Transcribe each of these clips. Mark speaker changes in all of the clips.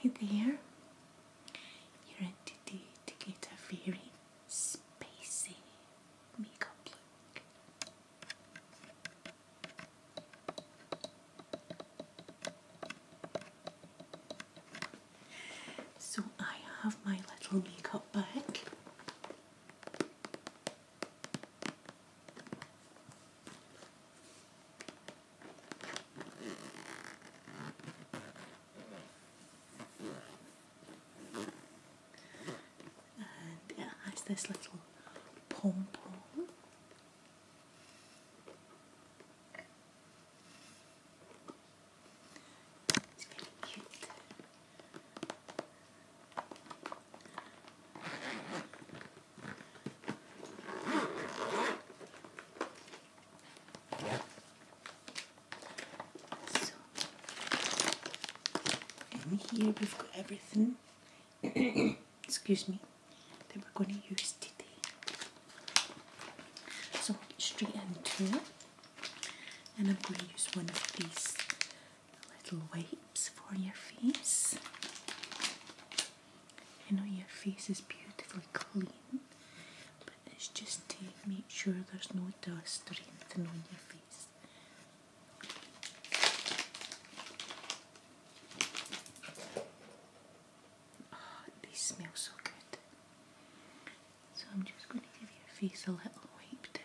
Speaker 1: Hi there. You're in to get a very spicy makeup look. So I have my little makeup bag and it has this little pom pom. It's really cute. So, and here we've got everything. Excuse me, that we're going to use today. So straight into and I'm going to use one of these little wipes for your face. You know your face is beautifully clean, but it's just to make sure there's no dust or anything on your face. Oh, ah, these smell so good. So I'm just going to give your face a little wipe down.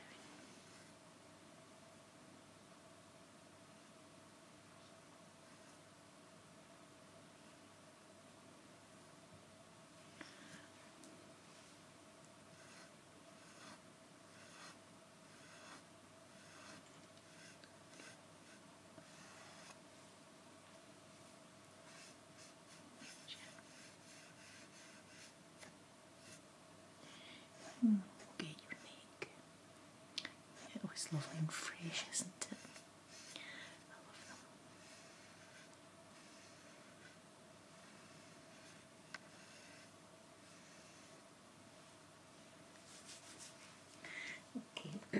Speaker 1: Mm, unique. It always lovely and fresh, isn't it?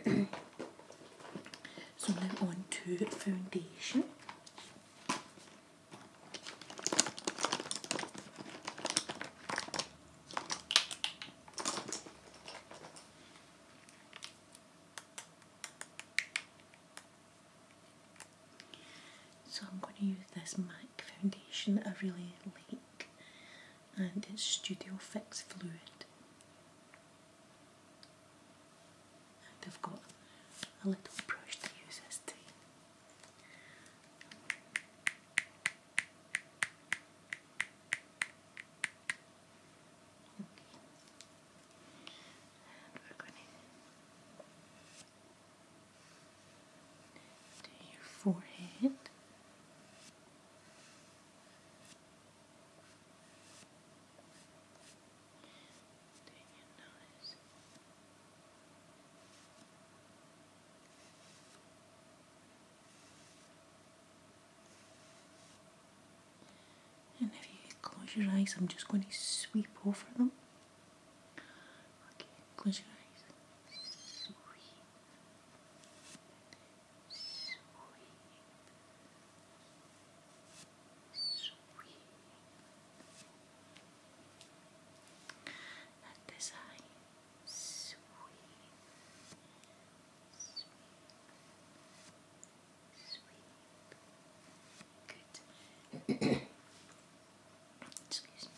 Speaker 1: Okay, so now on to foundation. So I'm going to use this MAC foundation I really like and it's Studio Fix Fluid. They've got a little brush to use as tea. Okay. to your forehead. And if you close your eyes, I'm just going to sweep over them. Okay, close your eyes sweep at this eye, sweep, Good. Excuse me.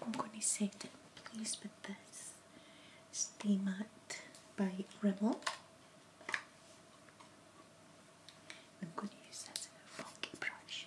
Speaker 1: I'm going to say that I'm this Steam Art by Rimmel. I'm going to use this as brush.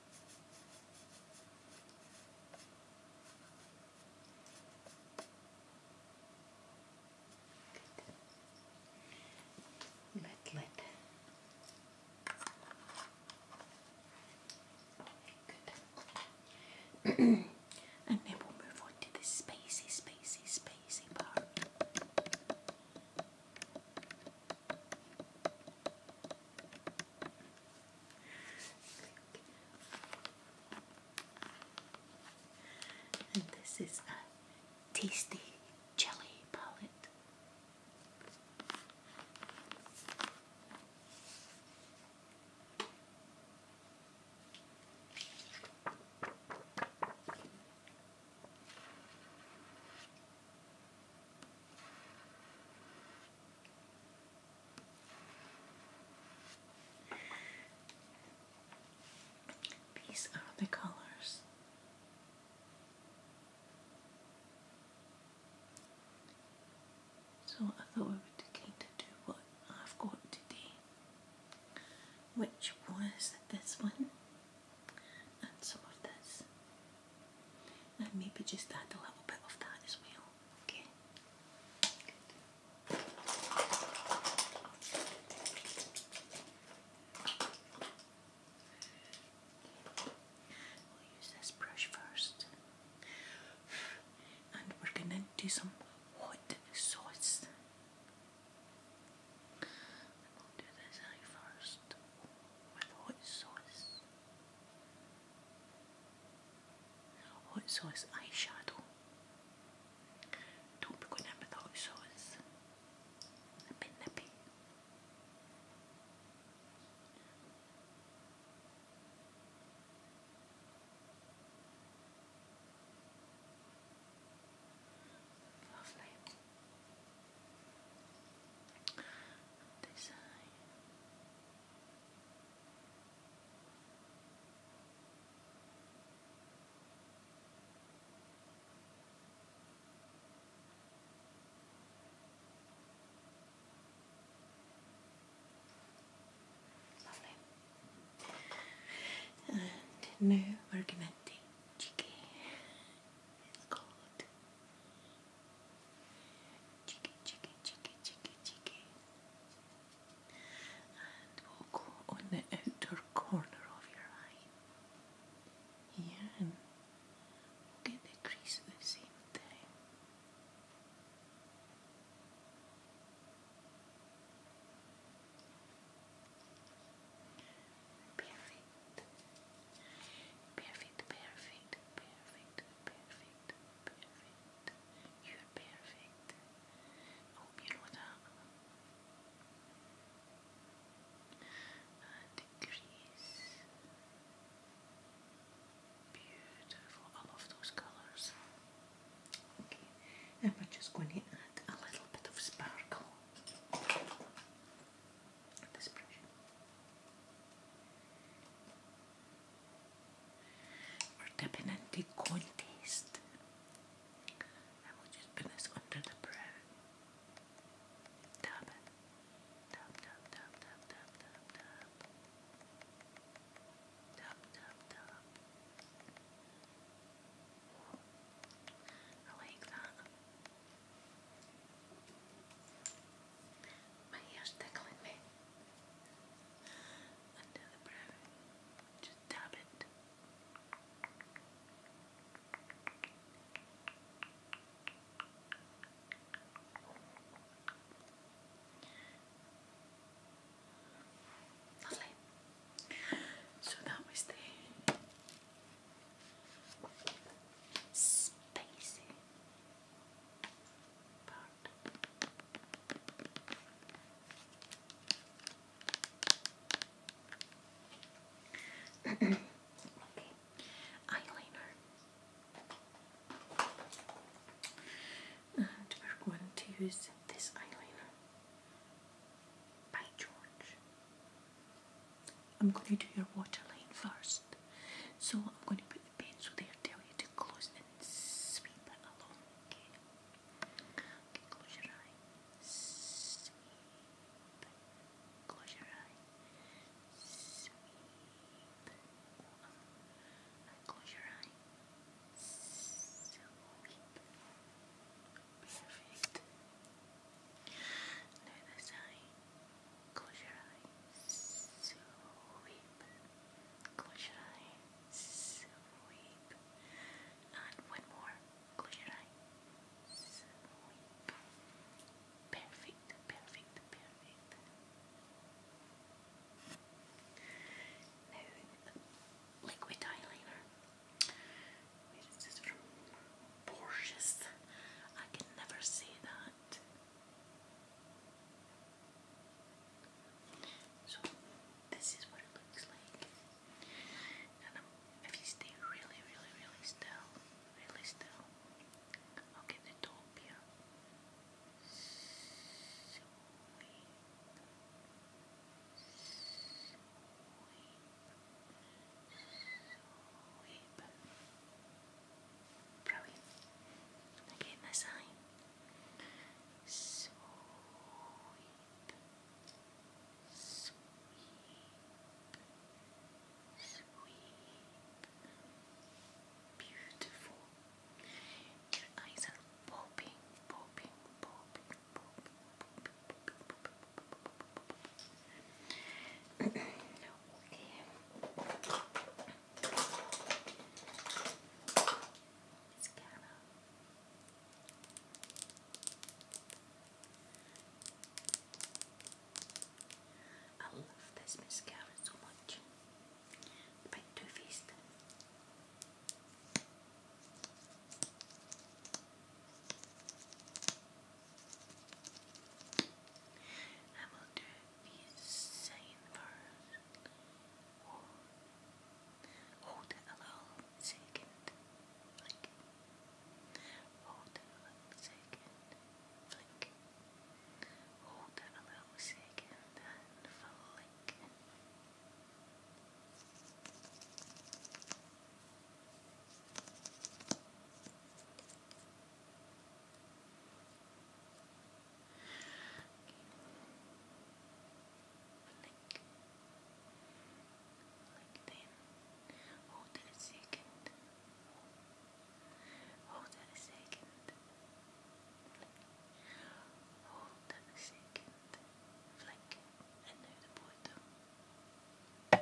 Speaker 1: Midland. Good. and then we'll move on to the spacey, spacey, spacey part. And this is a tasty jelly palette. These are the colors. So I thought I would kind of do what I've got today, which was this one and some of this and maybe just add a little bit of that as well. Okay. We'll use this brush first, and we're gonna do some hot sauce. And we do this eye first with hot sauce. Hot sauce eyeshadow. Don't be going in with hot sauce. A bit nippy. Lovely this eye. Lovely. And no argomenti, It's called Cheeky, cheeky, cheeky, cheeky, cheeky. And we'll go on the outer corner of your eye. Here and get the crease at the same time. Perfect. Perfect, perfect, perfect, perfect, perfect. You're perfect. hope oh, you know that. Uh, uh, Beautiful. I love those colours. Okay, and we're just going to add a little bit of sparkle. We're dipping into contest. And we just put this under the brow. I like that. My hair's tickling me. Under the brow. Just tap it. Lovely. So that was the spacey eyeliner. And we're going to use this eyeliner by George. I'm going to do your waterline first. So I'm going to put the pencil there, tell you to close and sweep it along. Okay, okay close your eye. Close your eye. Sweep. And close your eye. Sweep. Perfect. Now this eye. Close your eyes. Sweep. Close your eyes. Sweep. Not one more. Close your eyes. Sweep. Perfect. Perfect. Perfect. Now, liquid eyeliner. Where is this from? Borges. I can never say that that. So this is what it looks like. And um, if you stay really, really, really still, really still, I'll get the top here. Weep. Brilliant. Again this eye. Sweep. Sweep. Sweep. Beautiful. Your eyes are popping, popping, popping, popping, popping, popping, popping, popping, popping. okay. Scanner. I love this mascara so much. By Too Faced. I will do the same first. Hold it a second. Flick. Hold it a second. Flick. Hold it a second and flick. Blink. Like Hold it a second. Hold it a second. Hold it a second. And now the bottom. And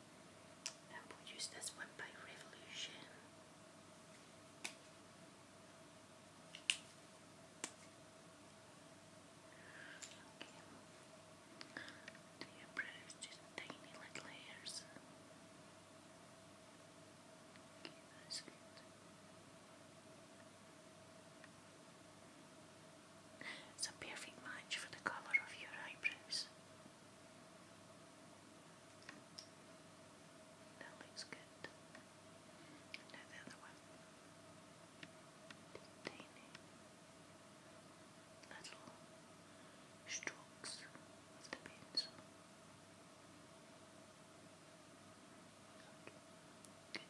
Speaker 1: And we one by Revolution. Okay. Do you tiny little hairs? Okay, that's good. It's a perfect match for the colour of your eyebrows. That looks good. Now the other one. strokes of Good.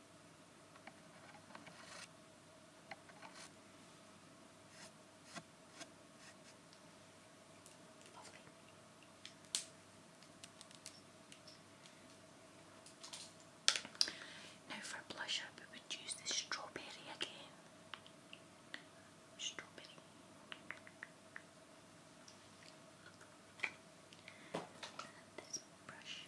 Speaker 1: Lovely. Now for blush up, we would use the strawberry again. Strawberry. this brush.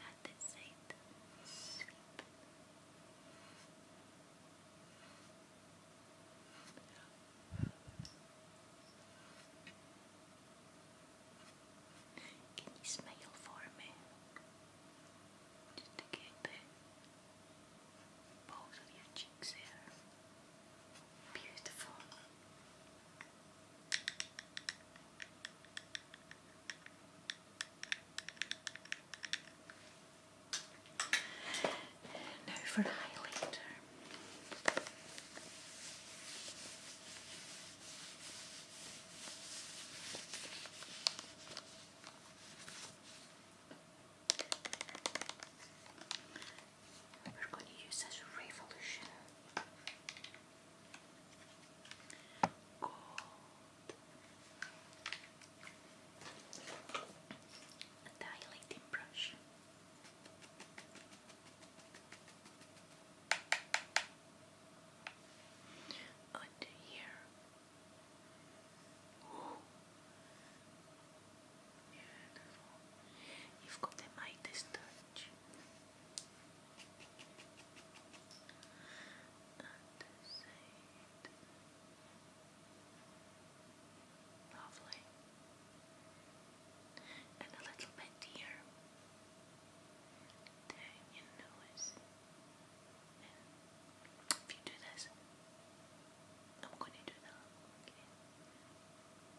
Speaker 1: At this side, sweep. Can you smile for me? Just to get the balls of your cheeks there. Beautiful. Now for highlighter we're going to use as revolution. Gold. A dilating brush. Under here. Beautiful. You've got the Midas touch. And this side. Lovely. And a little bit here. Down your nose. And if you do this, I'm that.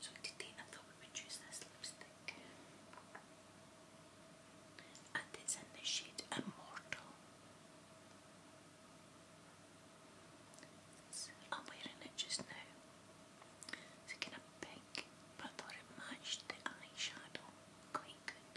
Speaker 1: So today I thought we would choose this lipstick. And it's in the shade Immortal. I'm wearing it just now. It's kind of pink, but it matched the eyeshadow quite good.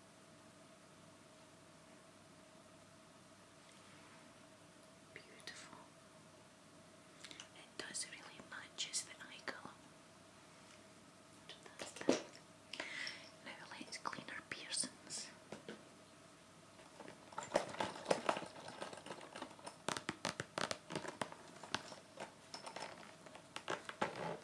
Speaker 1: Beautiful. It does really matches the eye colour. Now let's clean our piercings.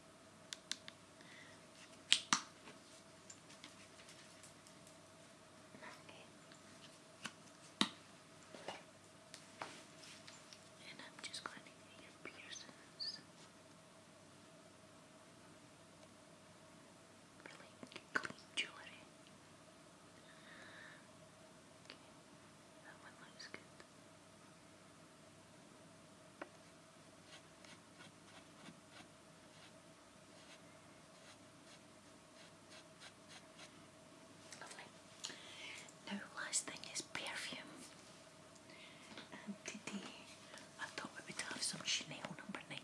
Speaker 1: Okay. And I'm just going your piercings. Really clean jewelry. Okay. That one looks good. Lovely. Now last thing is perfume. And today I thought we would have some Chanel number 19.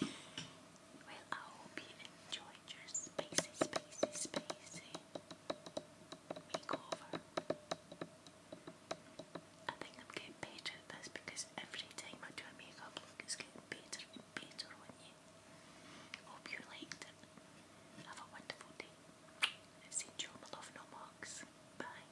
Speaker 1: Well, I hope you enjoyed your spacey, spacey, spacey makeover. I think I'm getting better at this because every time I do a makeup look, it's getting better and better on you. Hope you liked it. Have a wonderful day. See you, my love, no Bye.